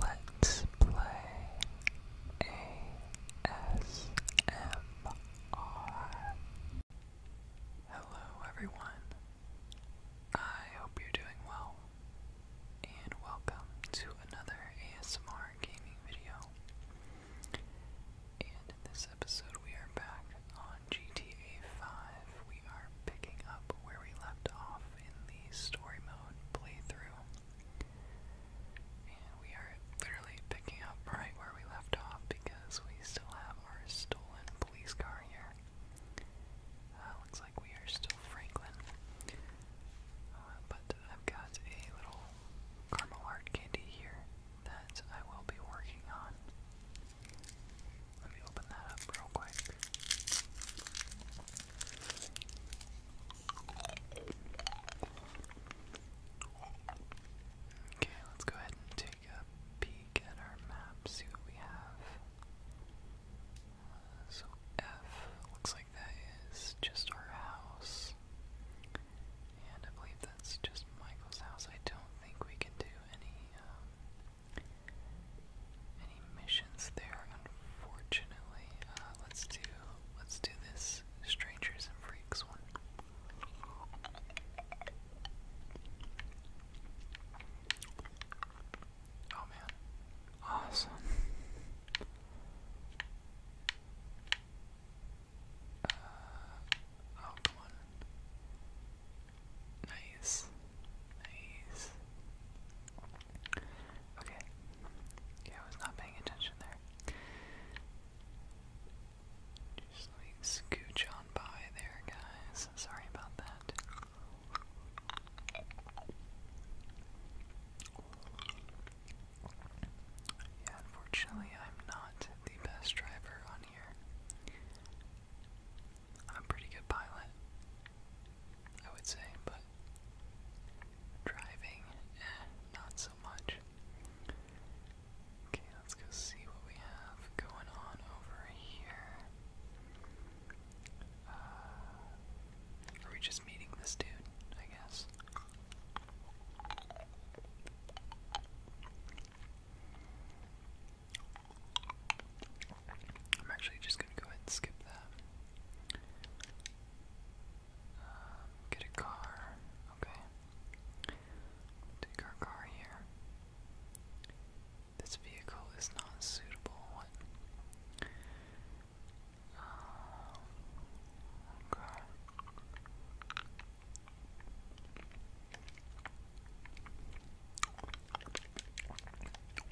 Let's play ASMR. Hello, everyone. I hope you're doing well, and welcome to another ASMR gaming video. And in this episode, we are back on GTA 5. We are picking up where we left off in story mode playthrough. And we are literally picking up right where we left off because we still have our stolen police car here. Uh, looks like we are still Franklin. Uh, but I've got a little caramel candy here that I will be working on. Let me open that up real quick. Okay, let's go ahead and take a peek at our map, see what we have. Uh, so F looks like that is just our house. And I believe that's just Michael's house. I don't think we can do any um, any missions there? Unfortunately, uh, let's do let's do this strangers and freaks one. Oh man, awesome. Uh, oh, nice. Nice. Okay. Yeah, I was not paying attention there. Just let me scooch on by there, guys. Sorry about that. Yeah, unfortunately, I'm not the best driver on here. I'm pretty good pilot, I would say, but driving, eh, not so much. Okay, let's go see what we have going on over here. Uh, are we just meeting this dude? I guess. I'm actually just gonna go ahead and skip that. Um, get a car. Okay. Take our car here. This vehicle is not suitable. Um, okay.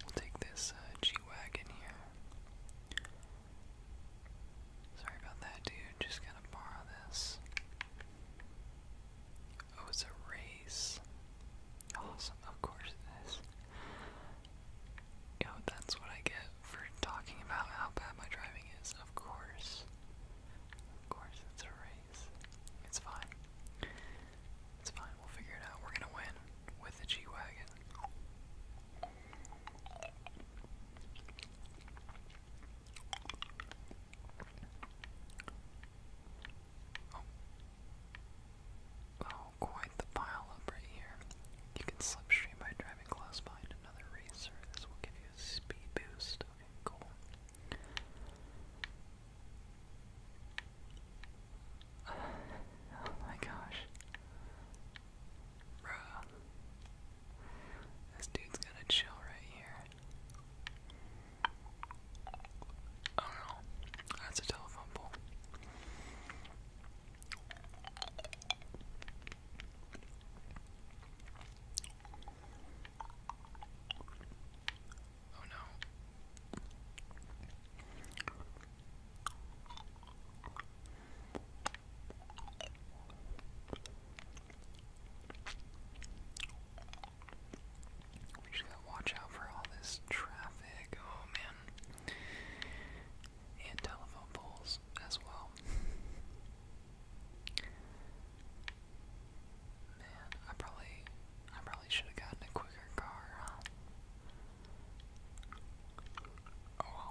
We'll take this uh, G Wagon here. Sorry about that, dude. Just gonna borrow this. Oh, it's a race. Awesome, of course it is. Yo, that's what I get for talking about how bad my driving is. Of course. Of course, it's a race. It's fine. It's fine, we'll figure it out. We're gonna win with the G Wagon. Oh. oh. quite the pile right here. You can slipstream by driving close behind another racer. This will give you a speed boost. Okay, cool oh my gosh. Bruh. This dude's gonna chill right here. Oh no. That's a telephone pole. Oh We just gotta watch out for all this traffic. Oh man. And telephone poles as well. Man, I probably I probably should have gotten a quicker car, Oh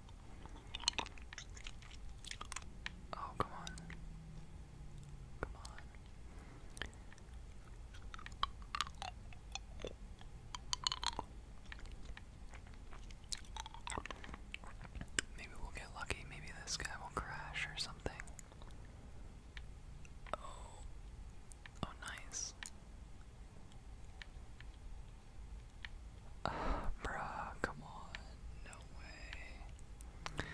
Oh, come on. Come on. Maybe we'll get lucky. Maybe this guy will crash or something. Oh. Oh, nice. Uh, come on. No way.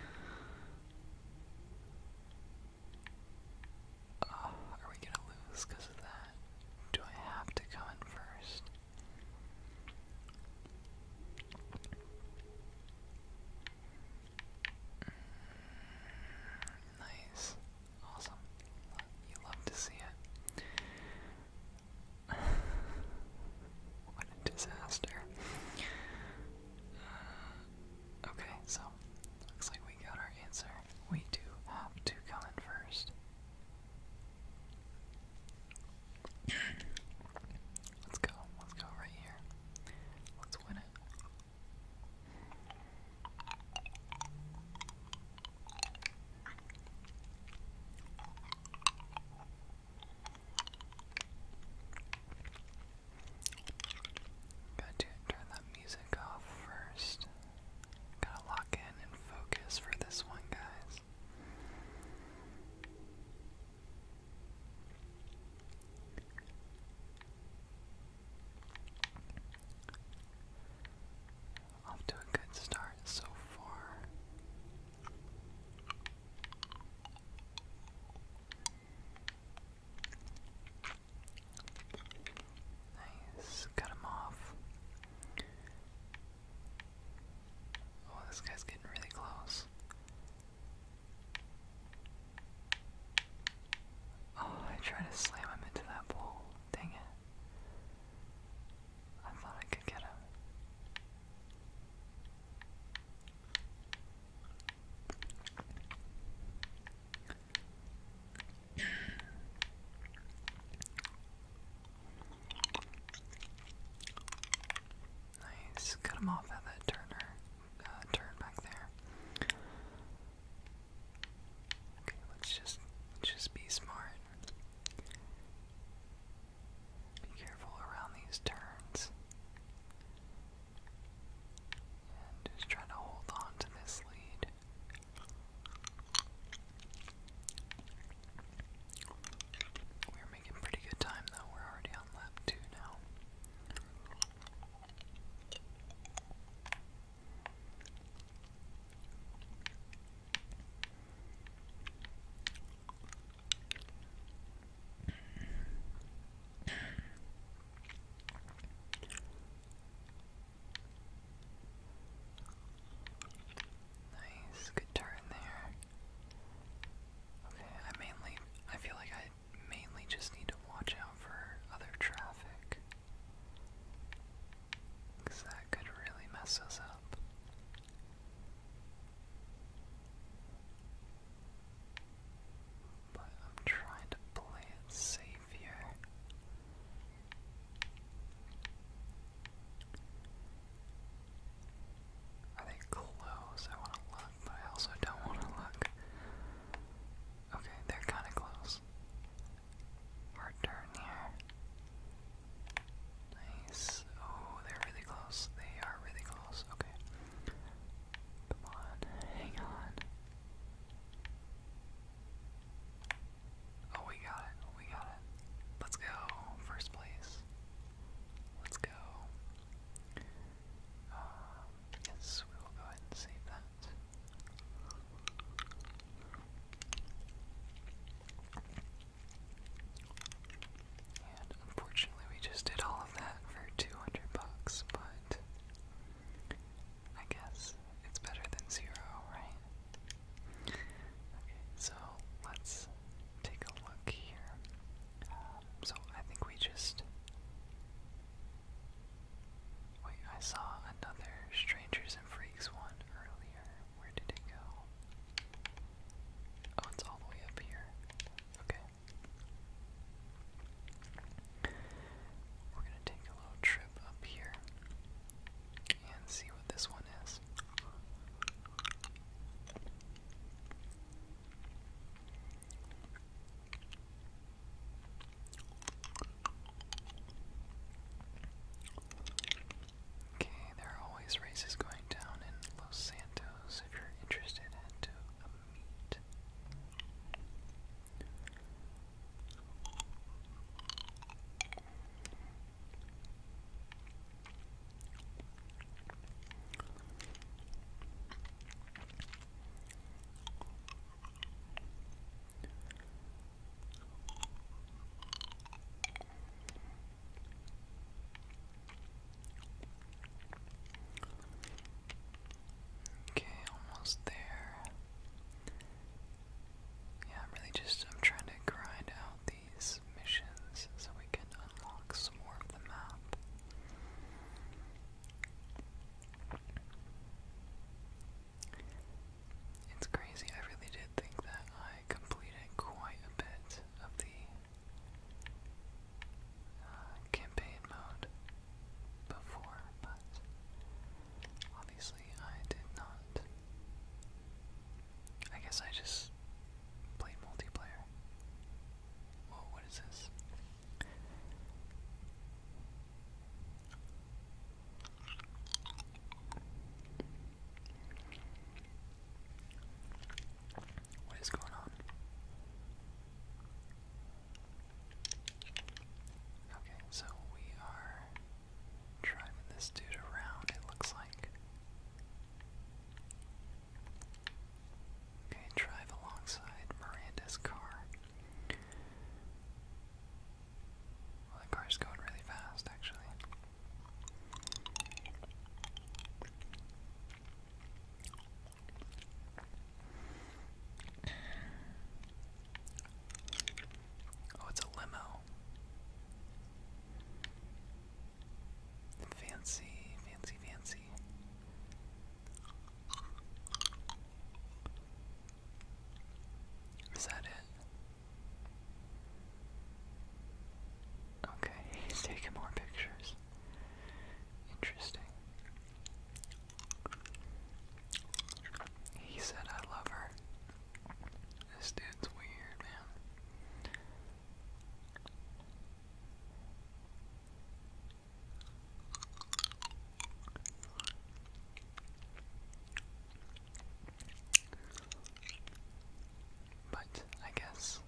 are we gonna lose of that? Do I have to come in first? Mm, nice. Awesome. You love to see it. what a disaster. Uh, okay, so looks like we got our answer. We do have to come in first. let's go. Let's go right here. Let's win it. Gotta turn that music off first. Gotta lock in and focus for this one, guys. Off to a good start so far. Nice, cut him off. Oh, this guy's getting really close. Oh, I tried to slam him into that pole. Dang it. I thought I could get him. Nice, cut him off at that turner, uh, turn back there. Okay, let's just just be smart. Be careful around these turns. And try to hold on to this lead. We're making pretty good time though. We're already on lap 2 now. Nice, good turn there. Okay, I mainly I feel like I mainly just need to watch out for other traffic. Cause that could really mess us up. But I'm trying to play it safe here. Are they close? I want to look, but I also don't want to look. Okay, they're kind of close. Hard turn here. Nice. Oh, they're really close. They are really close. Okay. Come on. Hang on. Oh, we got it. We got it. Let's go. First place. Let's go. Um, yes, we will go ahead and save that unfortunately, we just did all of that for 200 bucks, but I guess it's better than zero, right? Okay, so let's take a look here. Um, so I think we just. Wait, I saw another Strangers and Freaks one earlier. Where did it go? Oh, it's all the way up here. Okay. We're gonna take a little trip up here and see what this one is. Okay, there are always races going down in Los Santos if you're interested in a meet. Okay, almost there. Yeah, I'm really just I'm trying to grind out these missions so we can unlock some more of the map. It's crazy, I really did think that I completed quite a bit of the uh, campaign mode before, but obviously I did not. I guess I just played multiplayer. Whoa, what is this? What is going on? Okay, so we are driving this dude around, it looks like. Okay, drive alongside Miranda's car. The car is going really fast, actually. Oh, it's a limo. Fancy, fancy, fancy. Is that it? Okay, he's taking more pictures. Interesting. He said, I love her. This dude's weird, man. But I guess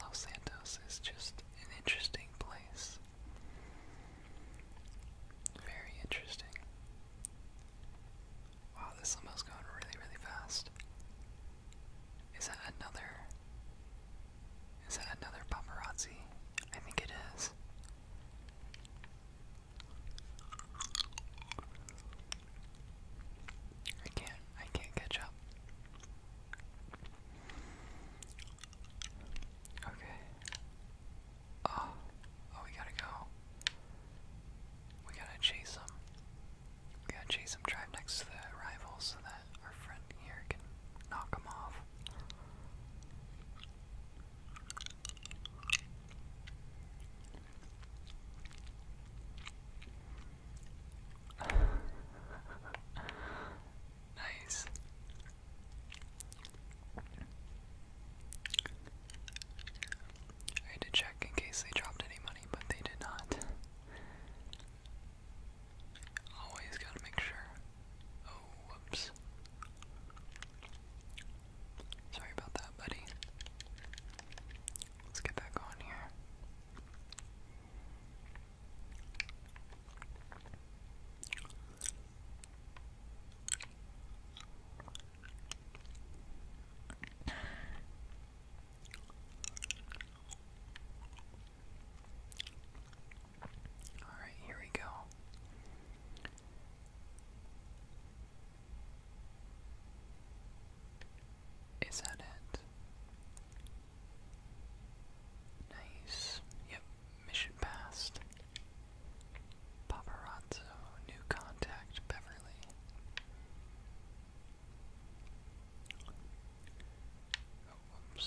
Los Santos is just an interesting place. Very interesting. Wow, this limo's going really, really fast. Is that another? Is that another paparazzi? I think it is. I can't, I can't catch up. Okay. Oh, oh, we gotta go. We gotta chase them. We gotta chase them, drive next to the rivals so that our friend here can knock them off nice. I had to check in case they dropped any money, but they did not. Always gotta make sure. Oh, whoops. Sorry about that, buddy. Let's get back on here. All right, here we go. Is that it? Nice. Yep, mission passed. Paparazzo, new contact, Beverly. Oh,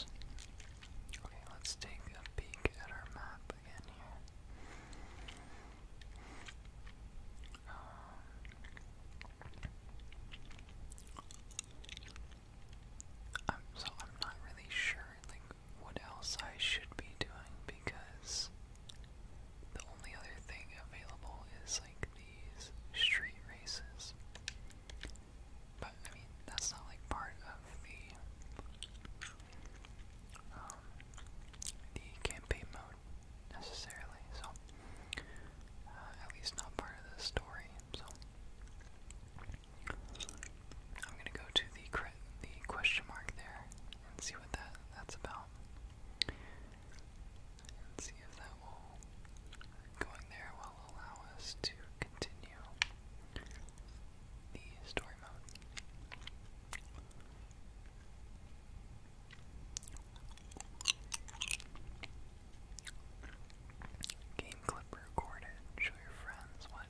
Okay, let's take a peek at our map i um, so I'm not really sure like what else I should be doing because the only other thing available is like these street races. But I mean that's not like part of the um, the campaign mode necessarily, so uh, at least not part of the story. So I'm gonna go to the question mark there and see what that that's about. And see if that will going there will allow us to continue the story mode. Game clip record Show your friends what.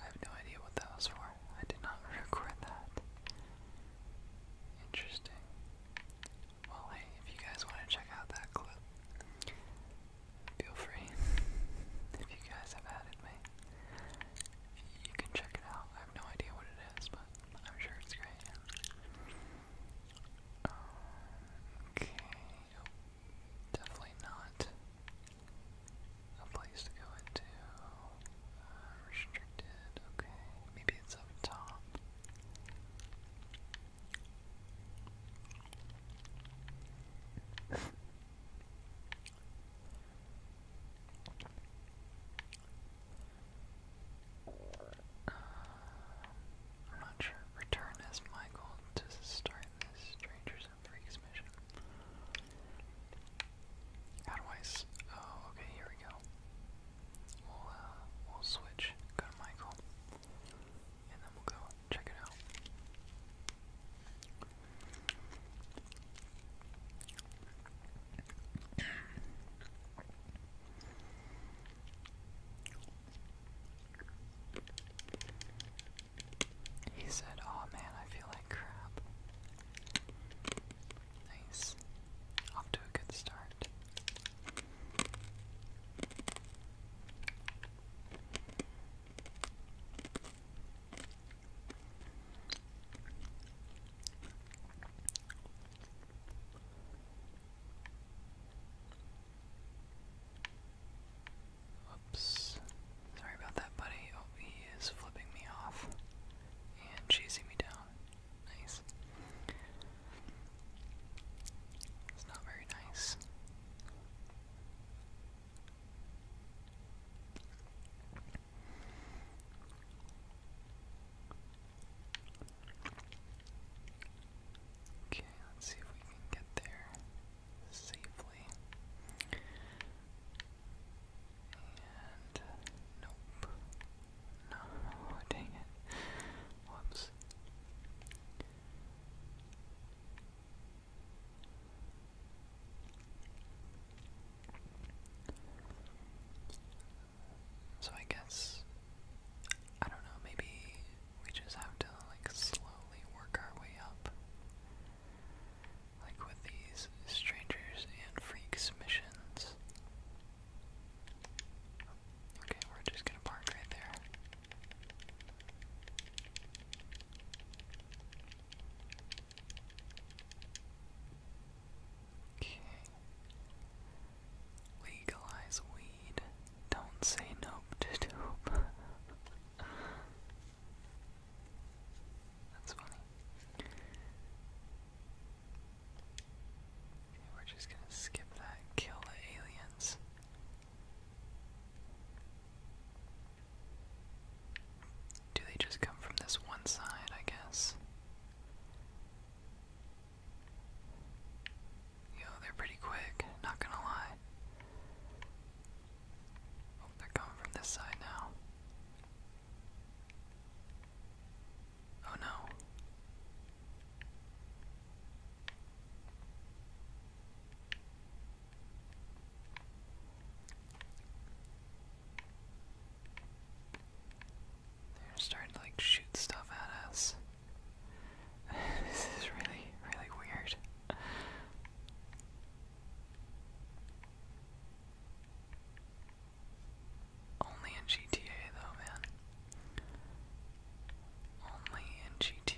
I have no idea what that was for. I did not record that. Interesting. Well, hey, if you guys want to check out that clip, feel free if you guys have added me. You can check it out. I have no idea what it is, but I'm sure it's great. Okay, definitely not a place to go into. Uh, restricted, okay. Maybe it's up top. I'm not sure. Return as Michael to start this Strangers and Freaks mission. How do I s oh, okay, here we go. We'll, uh, we'll switch. Go to Michael. And then we'll go Check it out. He said, Oh man, I feel like crap. Nice. Off to a good start. Oops. Sorry about that, buddy. Oh, he is flipping me off and chasing me down. Nice. It's not very nice. Okay, let's see if we can get there safely. And nope. No, dang it. Whoops. So I guess I don't know, maybe we just have to like slowly work our way up. Like with these strangers and freaks missions. Okay, we're just gonna park right there. Okay. Legalize weed. Don't say nope to dope. That's funny. Okay, we're just gonna skip that. Kill the aliens. Do they just come from this one side, I guess? Yo, they're pretty quick, not gonna lie. Oh, they're coming from this side now. Oh no. They're starting to like shoot stuff at us. this is really, really weird. Only in GTA though, man. Only in GTA.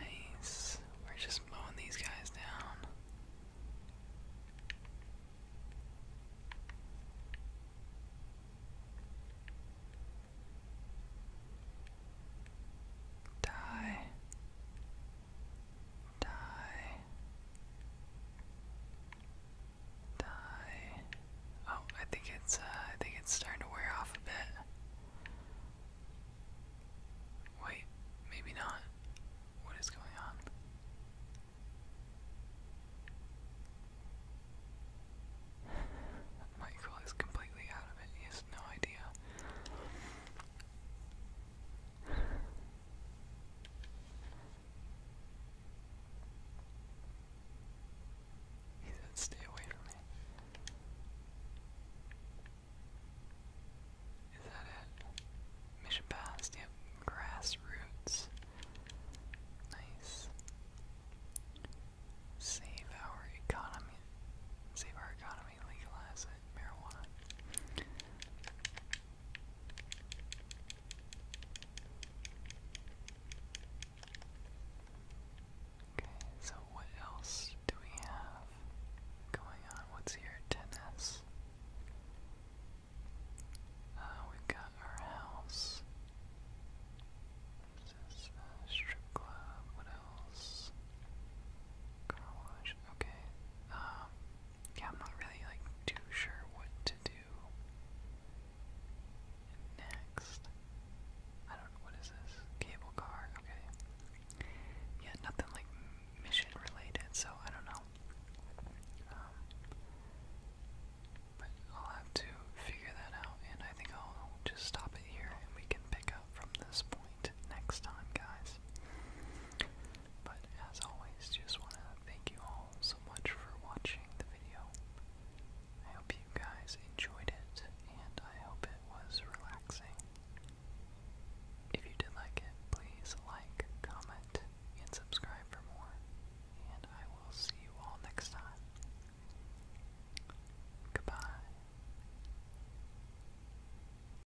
Nice. We're just mowing these guys down. Die die, die. Oh, I think it's uh, I think it's starting to wear off a bit. Wait, maybe not. What is going on? Michael is completely out of it. He has no idea. He said, stay away from me. Is that it? Mission passed. Yep. Grassroots. Nice. Save our economy. Save our economy legalize it, marijuana. Okay, so what else do we have going on? What's here? Tennis. Uh, we've got our house. strip club. What else? Car wash. Okay. Um, yeah, I'm not really like too sure what to do next. I don't know what is this cable car. Okay, yeah, nothing like mission related, so I don't know. Um, but I'll have to figure that out, and I think I'll just stop it here, and we can pick up from this point next time, guys. But as always, just want to thank you all so much for watching the video. I hope you guys enjoyed it, and I hope it was relaxing. If you did like it, please like, comment, and subscribe for more. And I will see you all next time. Goodbye.